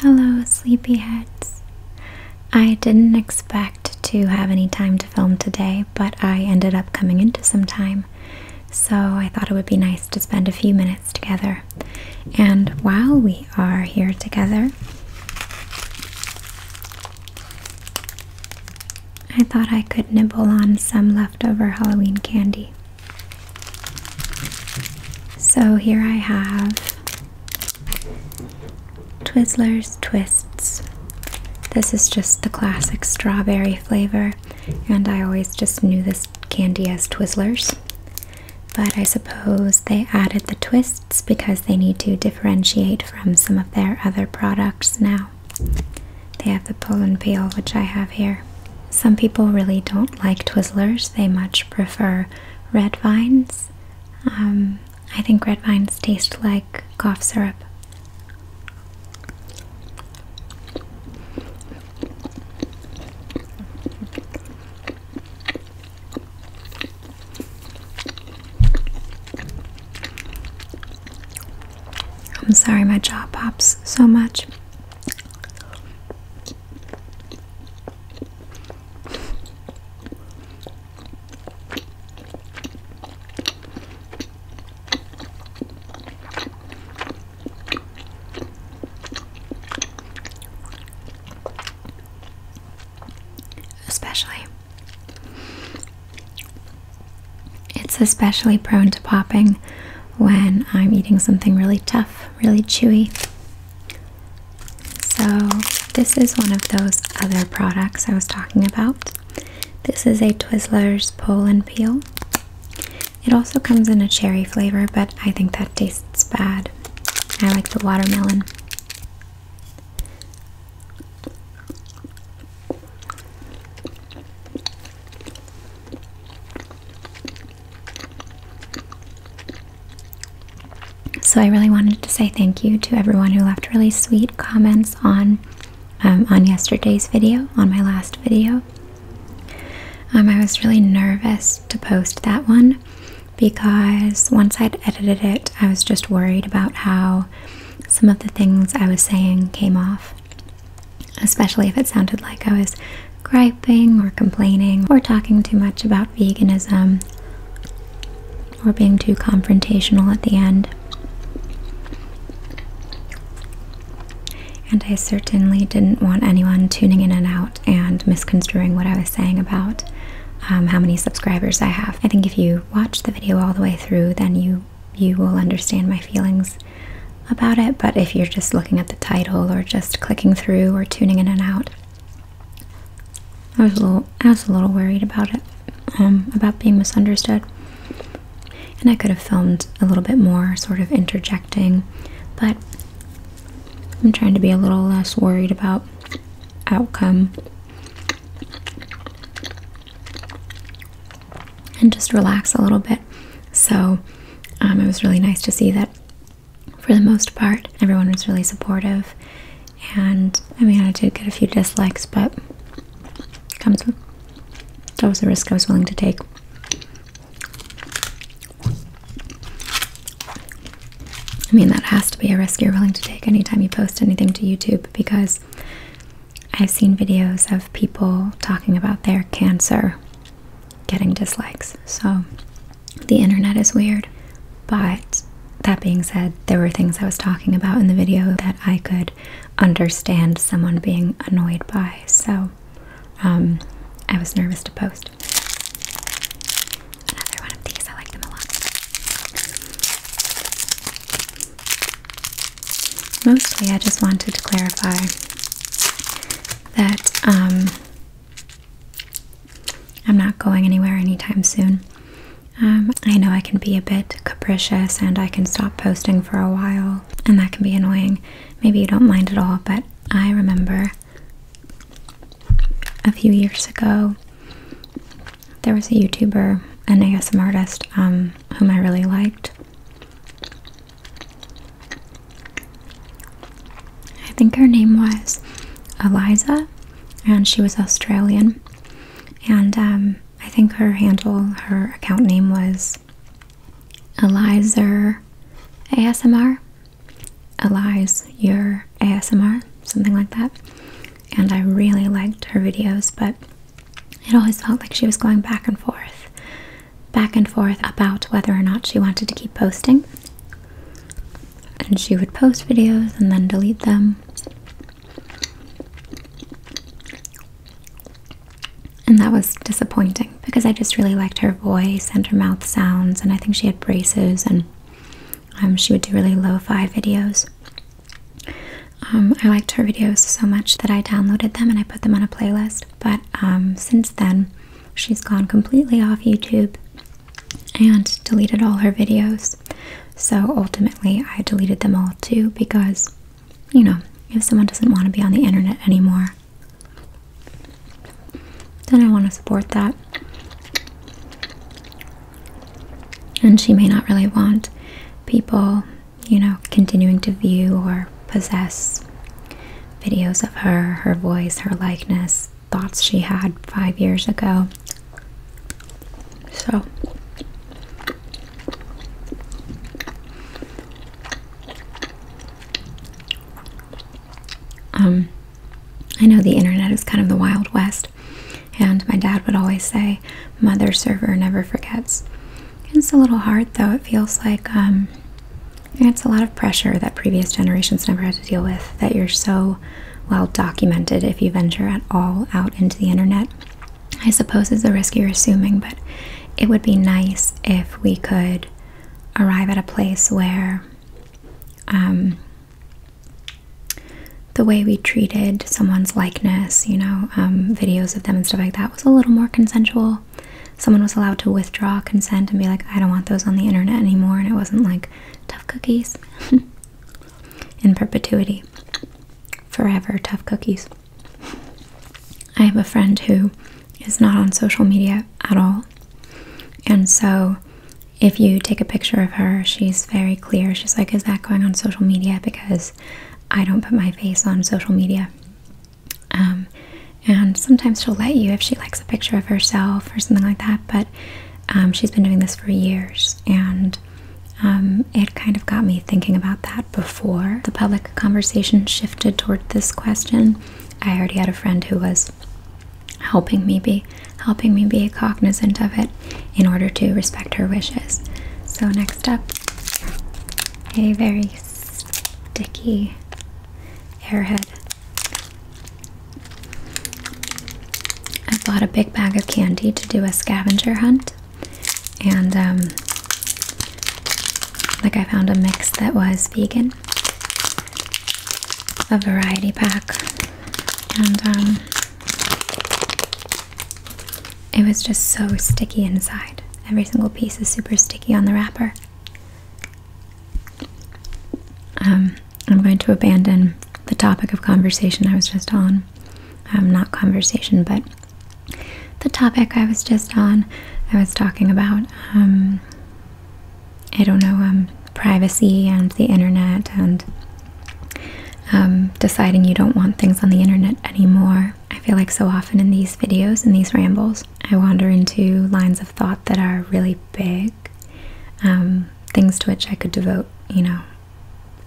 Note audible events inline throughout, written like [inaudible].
Hello, sleepyheads. I didn't expect to have any time to film today, but I ended up coming into some time, so I thought it would be nice to spend a few minutes together. And while we are here together, I thought I could nibble on some leftover Halloween candy. So here I have Twizzlers Twists. This is just the classic strawberry flavor, and I always just knew this candy as Twizzlers. But I suppose they added the twists because they need to differentiate from some of their other products now. They have the pull peel, which I have here. Some people really don't like Twizzlers, they much prefer red vines. Um, I think red vines taste like cough syrup. I'm sorry my jaw pops so much. Especially, it's especially prone to popping when I'm eating something really tough, really chewy. So, this is one of those other products I was talking about. This is a Twizzlers Pull and Peel. It also comes in a cherry flavor, but I think that tastes bad. I like the watermelon. So I really wanted to say thank you to everyone who left really sweet comments on um, on yesterday's video, on my last video. Um, I was really nervous to post that one because once I'd edited it, I was just worried about how some of the things I was saying came off, especially if it sounded like I was griping or complaining or talking too much about veganism or being too confrontational at the end. And I certainly didn't want anyone tuning in and out and misconstruing what I was saying about um, how many subscribers I have. I think if you watch the video all the way through, then you you will understand my feelings about it, but if you're just looking at the title or just clicking through or tuning in and out, I was a little I was a little worried about it, um, about being misunderstood. And I could have filmed a little bit more, sort of interjecting, but I'm trying to be a little less worried about outcome and just relax a little bit. So um, it was really nice to see that for the most part. Everyone was really supportive, and I mean, I did get a few dislikes, but comes with that was a risk I was willing to take. I mean, that has to be a risk you're willing to take anytime you post anything to YouTube because I've seen videos of people talking about their cancer getting dislikes. So the internet is weird. But that being said, there were things I was talking about in the video that I could understand someone being annoyed by. So um, I was nervous to post. Another one of these, I like them a lot. Mostly, I just wanted to clarify that um, I'm not going anywhere anytime soon. Um, I know I can be a bit capricious and I can stop posting for a while, and that can be annoying. Maybe you don't mind at all, but I remember a few years ago there was a YouTuber, an ASM artist, um, whom I really liked. I think her name was Eliza, and she was Australian. And um, I think her handle, her account name was Elizer ASMR, Elize Your ASMR, something like that. And I really liked her videos, but it always felt like she was going back and forth back and forth about whether or not she wanted to keep posting. And she would post videos and then delete them. And that was disappointing because I just really liked her voice and her mouth sounds, and I think she had braces, and um, she would do really lo fi videos. Um, I liked her videos so much that I downloaded them and I put them on a playlist. But um, since then, She's gone completely off YouTube and deleted all her videos. So ultimately, I deleted them all too because, you know, if someone doesn't want to be on the internet anymore, then I want to support that. And she may not really want people, you know, continuing to view or possess videos of her, her voice, her likeness, thoughts she had five years ago. So, um, I know the internet is kind of the Wild West, and my dad would always say, Mother server never forgets. It's a little hard though, it feels like um, it's a lot of pressure that previous generations never had to deal with, that you're so well documented if you venture at all out into the internet. I suppose it's a risk you're assuming, but it would be nice if we could arrive at a place where um, the way we treated someone's likeness, you know, um, videos of them and stuff like that was a little more consensual someone was allowed to withdraw consent and be like, I don't want those on the internet anymore, and it wasn't like tough cookies [laughs] in perpetuity. Forever tough cookies. I have a friend who is not on social media at all. And so if you take a picture of her, she's very clear. She's like, Is that going on social media? Because I don't put my face on social media. Um, and sometimes she'll let you if she likes a picture of herself or something like that, but um, she's been doing this for years, and um, it kind of got me thinking about that before the public conversation shifted toward this question. I already had a friend who was helping me be helping me be cognizant of it in order to respect her wishes. So next up, a very sticky Airhead. I bought a big bag of candy to do a scavenger hunt, and um, like I found a mix that was vegan, a variety pack, and um, it was just so sticky inside. Every single piece is super sticky on the wrapper. Um, I'm going to abandon the topic of conversation I was just on. Um, not conversation, but the topic I was just on. I was talking about, um, I don't know, privacy and the internet and deciding you don't want things on the internet anymore. I feel like so often in these videos, in these rambles, I wander into lines of thought that are really big, um, things to which I could devote, you know,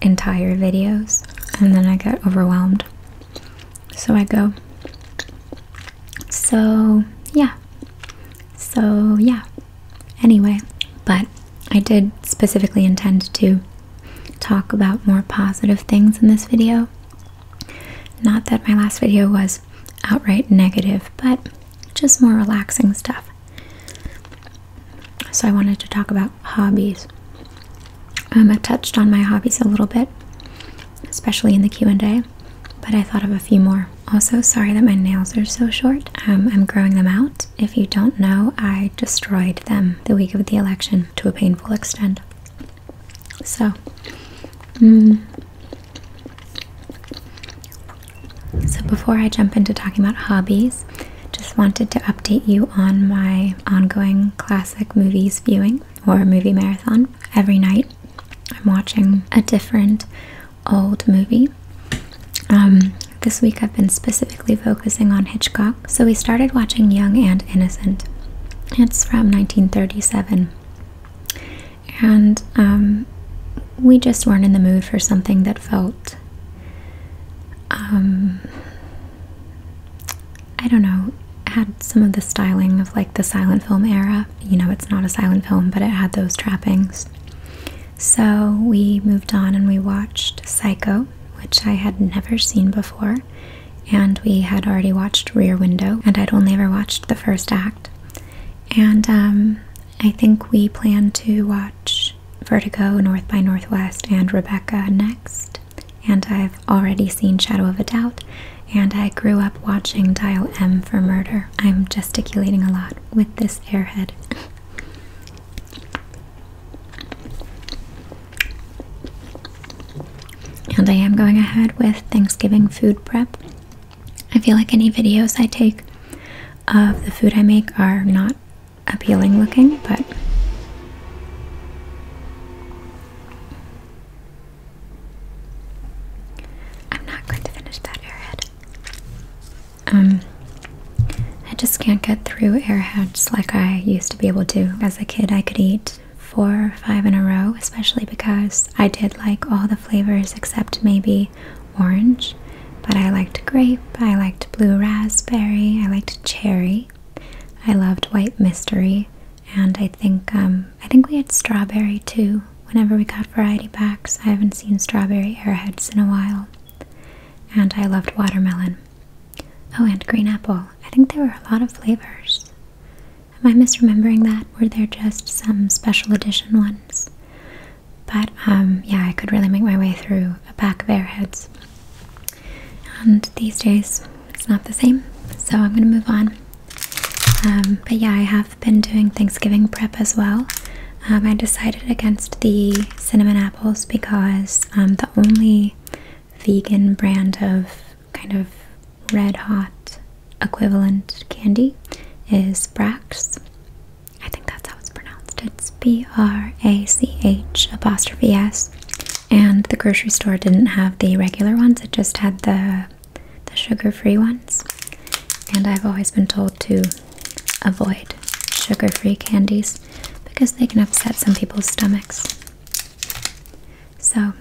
entire videos, and then I get overwhelmed. So I go. So, yeah. So, yeah. Anyway, but I did specifically intend to talk about more positive things in this video. Not that my last video was outright negative, but just more relaxing stuff. So, I wanted to talk about hobbies. Um, i touched on my hobbies a little bit, especially in the Q&A, but I thought of a few more. Also, sorry that my nails are so short. Um, I'm growing them out. If you don't know, I destroyed them the week of the election to a painful extent. So, mm. so before I jump into talking about hobbies, just wanted to update you on my ongoing classic movies viewing or movie marathon. Every night, I'm watching a different old movie. Um, this week, I've been specifically focusing on Hitchcock. So we started watching Young and Innocent. It's from 1937 and um, we just weren't in the mood for something that felt um, I don't know had some of the styling of like the silent film era you know it's not a silent film but it had those trappings so we moved on and we watched Psycho which I had never seen before and we had already watched Rear Window, and I'd only ever watched the first act. And um, I think we plan to watch Vertigo, North by Northwest, and Rebecca next. And I've already seen Shadow of a Doubt, and I grew up watching Dial M for Murder. I'm gesticulating a lot with this airhead and I am going ahead with Thanksgiving food prep. I feel like any videos I take of the food I make are not appealing looking, but I'm not going to finish that airhead. Um, I just can't get through airheads like I used to be able to. As a kid, I could eat four or five in a row, especially because I did like all the flavors except maybe orange. But I liked grape, I liked blue raspberry, I liked cherry, I loved white mystery, and I think um, I think we had strawberry too. Whenever we got variety packs, I haven't seen strawberry airheads in a while. And I loved watermelon. Oh, and green apple. I think there were a lot of flavors. Am I misremembering that? Were there just some special edition ones? But um, yeah, I could really make my way through a pack of airheads. And these days, it's not the same. So I'm going to move on. Um, but yeah, I have been doing Thanksgiving prep as well. Um, I decided against the cinnamon apples because um, the only vegan brand of kind of red hot equivalent candy is Brax. I think that's how it's pronounced. It's B R A C H apostrophe S. And the grocery store didn't have the regular ones, it just had the the sugar-free ones. And I've always been told to avoid sugar-free candies because they can upset some people's stomachs. So,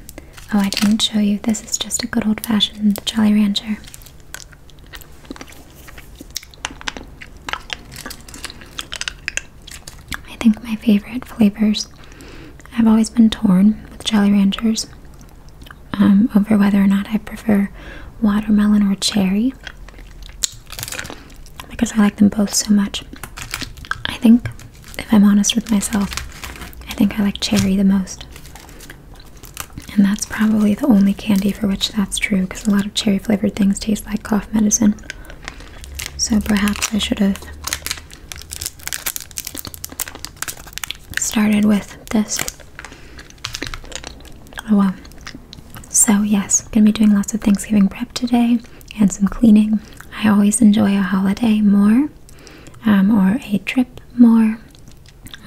oh, I didn't show you. This is just a good old fashioned Jolly Rancher. I think my favorite flavors. I've always been torn with Jolly Ranchers um, over whether or not I prefer watermelon or cherry because I like them both so much. I think if I'm honest with myself, I think I like cherry the most. And that's probably the only candy for which that's true because a lot of cherry flavored things taste like cough medicine. So perhaps I should have started with this. Oh well. So, yes, going to be doing lots of Thanksgiving prep today and some cleaning. I always enjoy a holiday more um, or a trip more.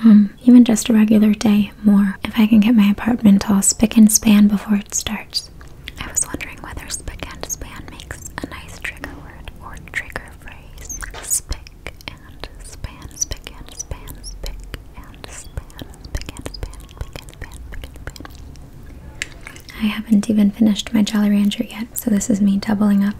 Um, even just a regular day more. If I can get my apartment all spick and span before it starts. I was wondering whether spick and span makes a nice trigger word or trigger phrase. Spick and span, spick and span, spick and span, spick and span, spick and span, spick and span. I haven't even finished my Jolly Rancher yet, so this is me doubling up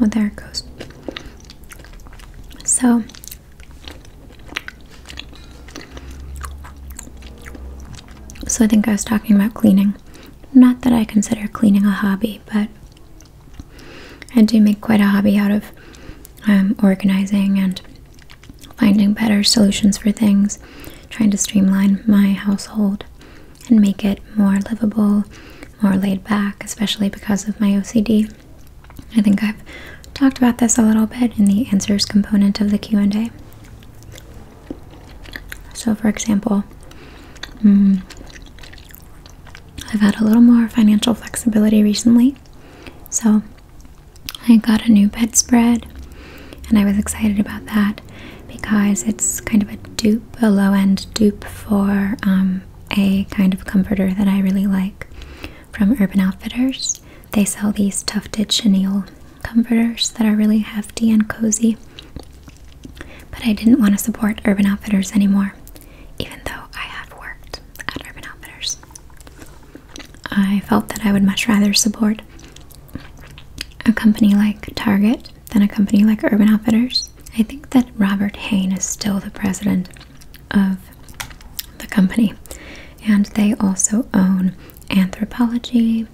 well, there it goes. So so I think I was talking about cleaning. Not that I consider cleaning a hobby, but I do make quite a hobby out of um, organizing and finding better solutions for things, trying to streamline my household and make it more livable, more laid back, especially because of my OCD. I think I've talked about this a little bit in the answers component of the Q&A. So for example, mm, I've had a little more financial flexibility recently, so I got a new bedspread, and I was excited about that because it's kind of a dupe, a low end dupe for um, a kind of comforter that I really like from Urban Outfitters. They sell these tufted chenille comforters that are really hefty and cozy. But I didn't want to support Urban Outfitters anymore, even though I have worked at Urban Outfitters. I felt that I would much rather support a company like Target than a company like Urban Outfitters. I think that Robert Hain is still the president of the company, and they also own Anthropology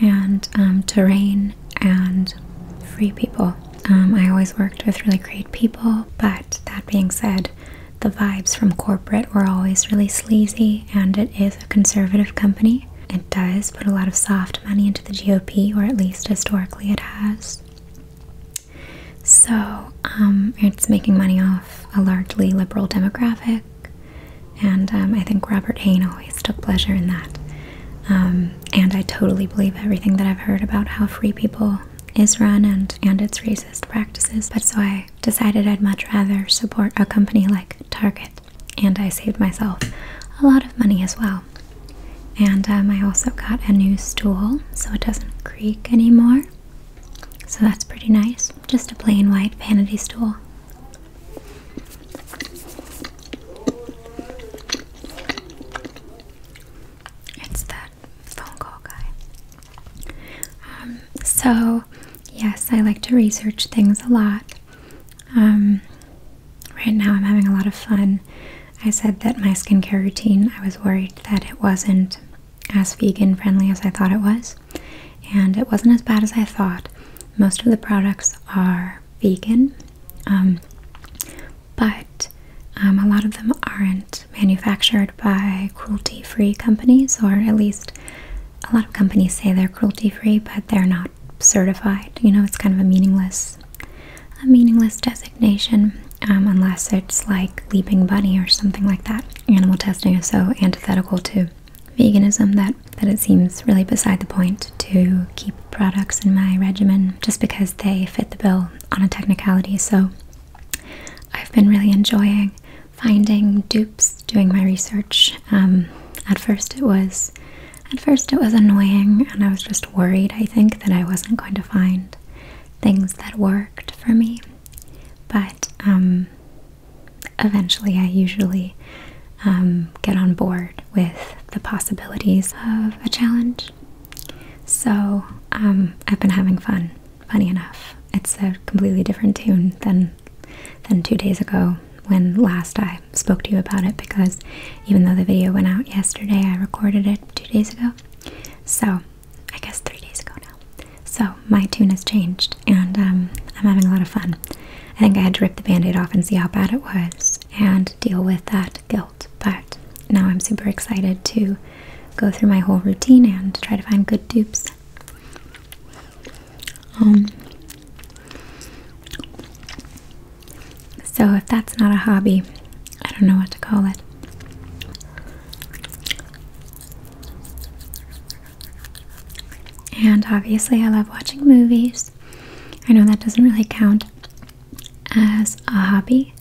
and um, Terrain and Free People. Um, I always worked with really great people, but that being said, the vibes from corporate were always really sleazy, and it is a conservative company. It does put a lot of soft money into the GOP, or at least historically it has. So um, it's making money off a largely liberal demographic, and um, I think Robert Hayne always took pleasure in that. and I totally believe everything that I've heard about how free people is run and, and its racist practices, but so I decided I'd much rather support a company like Target, and I saved myself a lot of money as well. And um, I also got a new stool so it doesn't creak anymore. So that's pretty nice. Just a plain white vanity stool. It's the phone call guy. Um, so, yes, I like to research things a lot. Um, right now, I'm having a lot of fun. I said that my skincare routine, I was worried that it wasn't as vegan friendly as I thought it was, and it wasn't as bad as I thought. Most of the products are vegan, um, but um, a lot of them aren't manufactured by cruelty free companies, or at least a lot of companies say they're cruelty free, but they're not certified. You know, it's kind of a meaningless, a meaningless designation, um, unless it's like Leaping Bunny or something like that. Animal testing is so antithetical to veganism that that it seems really beside the point to keep products in my regimen just because they fit the bill on a technicality. So I've been really enjoying finding dupes, doing my research. Um, at first, it was at first it was annoying, and I was just worried. I think that I wasn't going to find things that worked for me, but um, eventually, I usually um, get on board with the possibilities of a challenge so um, I've been having fun. Funny enough, it's a completely different tune than than two days ago when last I spoke to you about it. Because even though the video went out yesterday, I recorded it two days ago. So I guess three days ago now. So my tune has changed, and um, I'm having a lot of fun. I think I had to rip the band aid off and see how bad it was and deal with that guilt. But now I'm super excited to go through my whole routine and try to find good dupes. Um, so, if that's not a hobby, I don't know what to call it. And obviously, I love watching movies. I know that doesn't really count as a hobby,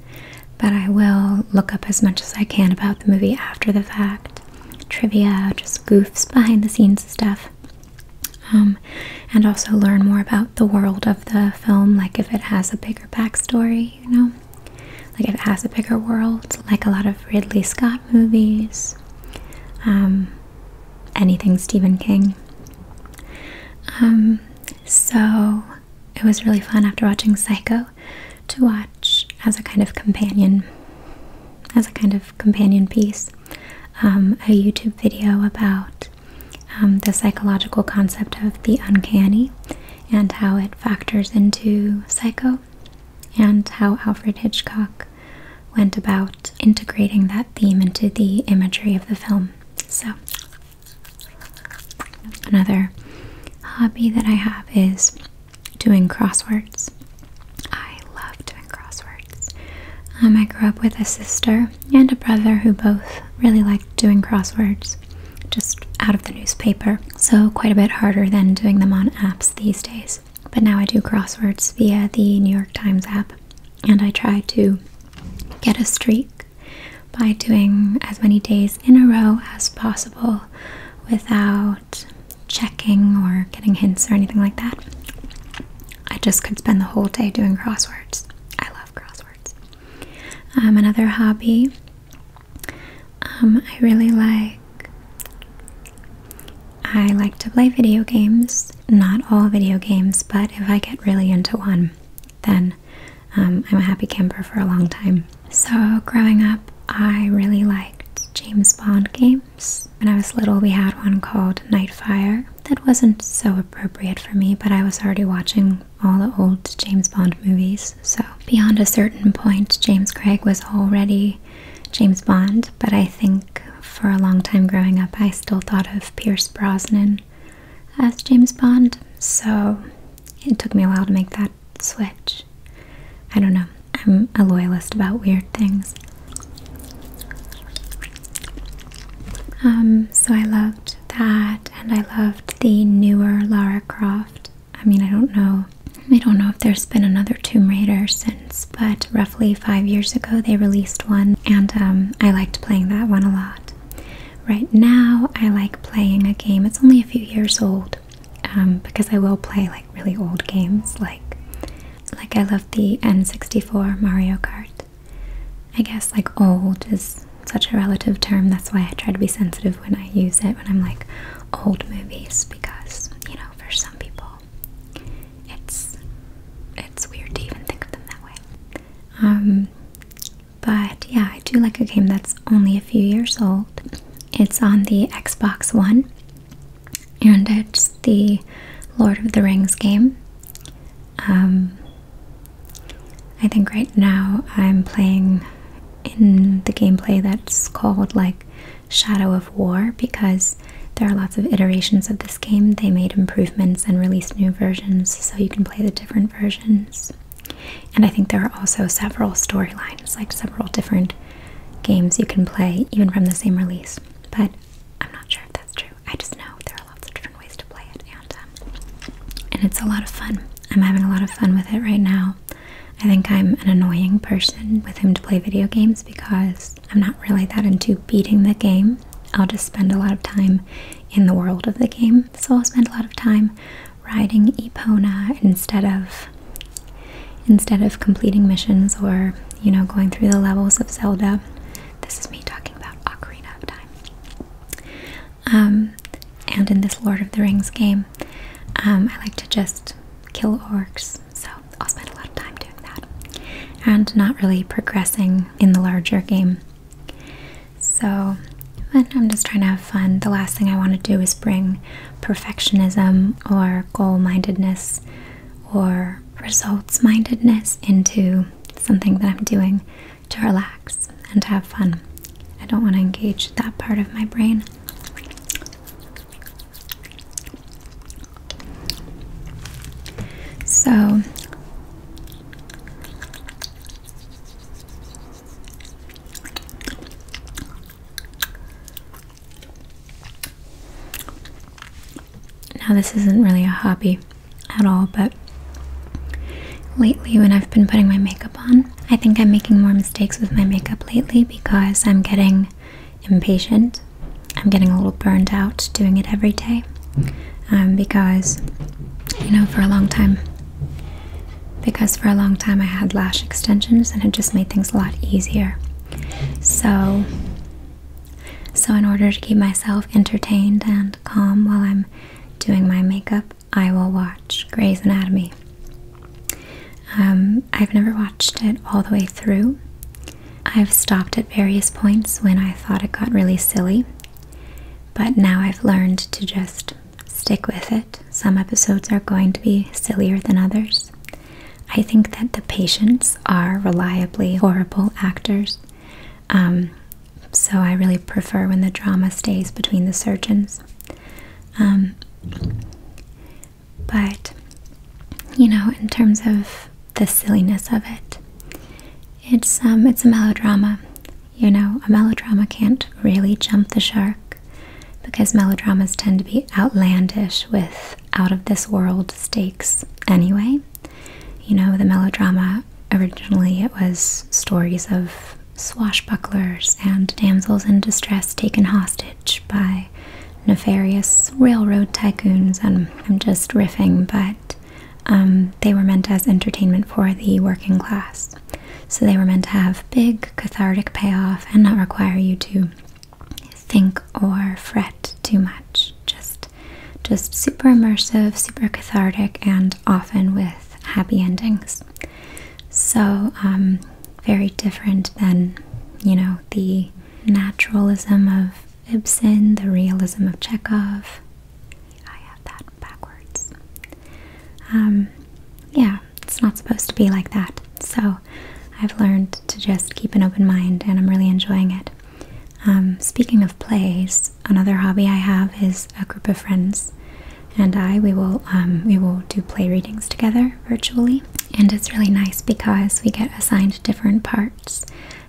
but I will look up as much as I can about the movie after the fact. Trivia, just goofs, behind the scenes stuff. Um, and also learn more about the world of the film, like if it has a bigger backstory, you know? Like if it has a bigger world, like a lot of Ridley Scott movies, um, anything Stephen King. Um, so it was really fun after watching Psycho to watch as a kind of companion, as a kind of companion piece, um, a YouTube video about um, the psychological concept of the uncanny and how it factors into Psycho and how Alfred Hitchcock went about integrating that theme into the imagery of the film. So Another hobby that I have is doing crosswords. I love doing crosswords. Um, I grew up with a sister and a brother who both really liked doing crosswords just out of the newspaper, so quite a bit harder than doing them on apps these days. But now I do crosswords via the New York Times app and I try to get a streak by doing as many days in a row as possible without checking or getting hints or anything like that. I just could spend the whole day doing crosswords. I love crosswords. Um, another hobby um, I really like. I like to play video games. Not all video games, but if I get really into one, then um, I'm a happy camper for a long time. So, growing up, I really liked James Bond games. When I was little, we had one called Nightfire that wasn't so appropriate for me, but I was already watching all the old James Bond movies. So, beyond a certain point, James Craig was already James Bond, but I think for a long time growing up, I still thought of Pierce Brosnan as James Bond, so it took me a while to make that switch. I don't know, I'm a loyalist about weird things. Um, so I loved that, and I loved the newer Lara Croft. I mean, I don't know. I don't know if there's been another Tomb Raider since, but roughly five years ago they released one, and um, I liked playing that one a lot. Right now, I like playing a game. It's only a few years old um, because I will play like really old games, like like I love the N64 Mario Kart. I guess like old is such a relative term. That's why I try to be sensitive when I use it when I'm like old movies because you know for some people it's it's weird to even think of them that way. Um, but yeah, I do like a game that's only a few years old. It's on the Xbox One, and it's the Lord of the Rings game. Um, I think right now I'm playing in the gameplay that's called like Shadow of War because there are lots of iterations of this game. They made improvements and released new versions so you can play the different versions. And I think there are also several storylines, like several different games you can play, even from the same release. But I'm not sure if that's true. I just know there are lots of different ways to play it, and um, and it's a lot of fun. I'm having a lot of fun with it right now. I think I'm an annoying person with whom to play video games because I'm not really that into beating the game. I'll just spend a lot of time in the world of the game so I'll spend a lot of time riding Epona instead of instead of completing missions or you know going through the levels of Zelda. This is me talking about Ocarina of Time. Um, and in this Lord of the Rings game, um, I like to just kill orcs, so I'll spend a lot of time doing that and not really progressing in the larger game. So, I'm just trying to have fun. The last thing I want to do is bring perfectionism or goal mindedness or results mindedness into something that I'm doing to relax and to have fun. I don't want to engage that part of my brain. So, now, this isn't really a hobby at all, but lately, when I've been putting my makeup on, I think I'm making more mistakes with my makeup lately because I'm getting impatient. I'm getting a little burned out doing it every day. Um, because you know for a long time because for a long time I had lash extensions and it just made things a lot easier so so in order to keep myself entertained and calm while I'm doing my makeup I will watch Grey's Anatomy um, I've never watched it all the way through I've stopped at various points when I thought it got really silly but now I've learned to just stick with it. Some episodes are going to be sillier than others. I think that the patients are reliably horrible actors. Um, so I really prefer when the drama stays between the surgeons. Um, but, you know, in terms of the silliness of it, it's um, it's a melodrama. You know, a melodrama can't really jump the shark because melodramas tend to be outlandish with out of this world stakes anyway. You know, the melodrama originally it was stories of swashbucklers and damsels in distress taken hostage by nefarious railroad tycoons and I'm just riffing, but um, they were meant as entertainment for the working class. So they were meant to have big cathartic payoff and not require you to think or fret too much. Just just super immersive, super cathartic, and often with happy endings. So um, very different than, you know, the naturalism of Ibsen, the realism of Chekhov. I have that backwards. Um, yeah, it's not supposed to be like that. So I've learned to just keep an open mind and I'm really enjoying it. Um, speaking of plays, another hobby I have is a group of friends and I we will um, we will do play readings together virtually and it's really nice because we get assigned different parts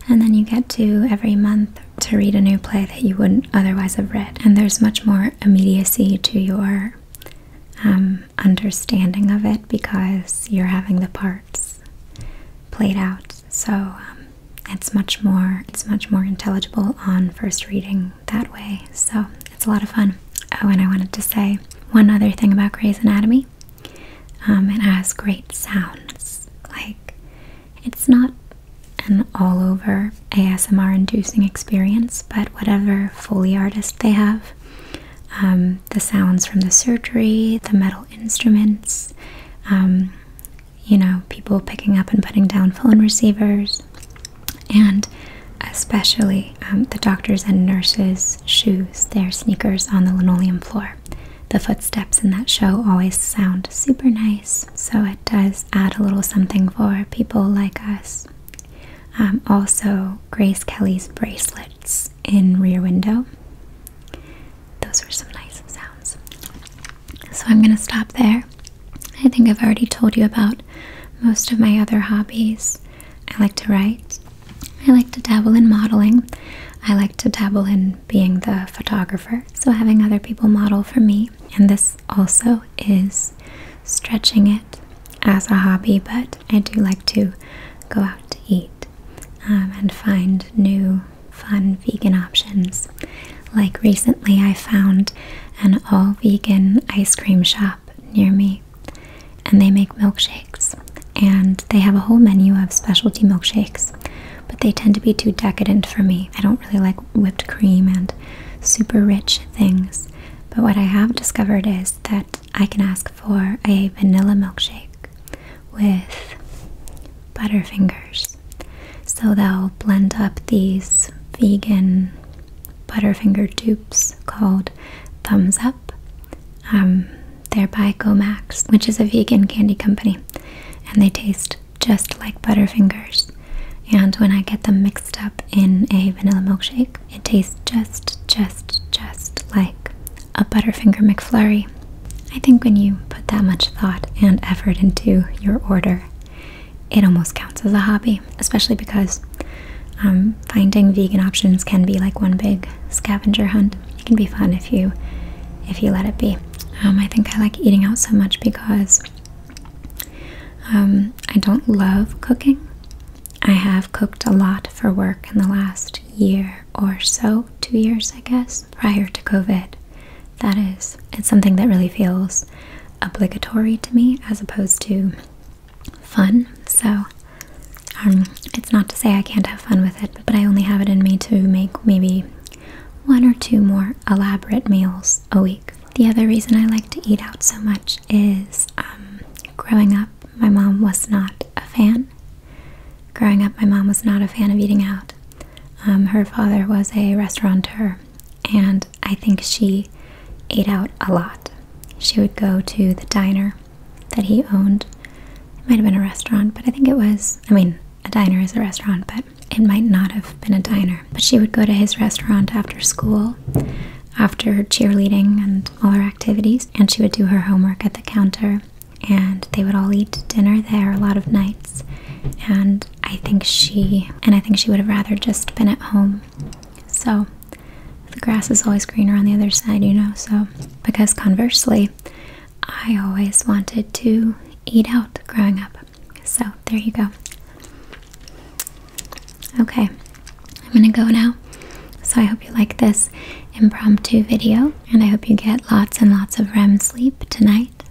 and then you get to every month to read a new play that you wouldn't otherwise have read and there's much more immediacy to your um, understanding of it because you're having the parts played out so um, it's much more it's much more intelligible on first reading that way so it's a lot of fun oh and i wanted to say one other thing about gray's anatomy um, it has great sounds like it's not an all over ASMR inducing experience, but whatever Foley artist they have, um, the sounds from the surgery, the metal instruments, um, you know, people picking up and putting down phone receivers, and especially um, the doctors and nurses' shoes, their sneakers on the linoleum floor. The footsteps in that show always sound super nice, so does add a little something for people like us. Um, also, Grace Kelly's bracelets in Rear Window. Those were some nice sounds. So I'm going to stop there. I think I've already told you about most of my other hobbies. I like to write. I like to dabble in modeling. I like to dabble in being the photographer so having other people model for me. And this also is stretching it as a hobby, but I do like to go out to eat um, and find new fun vegan options. Like recently, I found an all vegan ice cream shop near me, and they make milkshakes. And they have a whole menu of specialty milkshakes but they tend to be too decadent for me. I don't really like whipped cream and super rich things. But what I have discovered is that I can ask for a vanilla milkshake with Butterfingers. So they'll blend up these vegan Butterfinger dupes called Thumbs Up. Um, they're by Gomax, which is a vegan candy company, and they taste just like Butterfingers. And when I get them mixed up in a vanilla milkshake, it tastes just, just, just like a Butterfinger McFlurry. I think when you put that much thought and effort into your order, it almost counts as a hobby, especially because um, finding vegan options can be like one big scavenger hunt. It can be fun if you if you let it be. Um, I think I like eating out so much because um, I don't love cooking. I have cooked a lot for work in the last year or so, two years, I guess, prior to COVID. That is, it's something that really feels obligatory to me as opposed to fun. So, um, it's not to say I can't have fun with it, but I only have it in me to make maybe one or two more elaborate meals a week. The other reason I like to eat out so much is um, growing up, my mom was not a fan. Growing up, my mom was not a fan of eating out. Um, her father was a restaurateur, and I think she ate out a lot. She would go to the diner that he owned. It might have been a restaurant, but I think it was, I mean, a diner is a restaurant, but it might not have been a diner, but she would go to his restaurant after school, after cheerleading and all her activities, and she would do her homework at the counter. And they would all eat dinner there a lot of nights. And I think she and I think she would have rather just been at home. So the grass is always greener on the other side, you know. So because conversely, I always wanted to eat out growing up. So there you go. Okay, I'm gonna go now. So I hope you like this impromptu video, and I hope you get lots and lots of REM sleep tonight.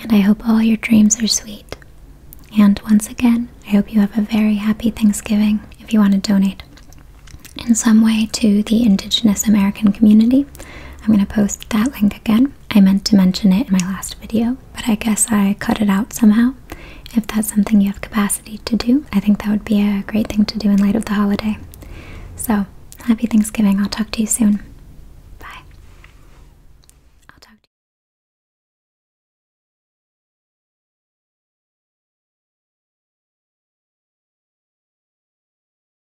And I hope all your dreams are sweet. And once again, I hope you have a very happy Thanksgiving if you want to donate in some way to the Indigenous American community. I'm going to post that link again. I meant to mention it in my last video, but I guess I cut it out somehow. If that's something you have capacity to do, I think that would be a great thing to do in light of the holiday. So, happy Thanksgiving. I'll talk to you soon. Bye. I'll talk to you.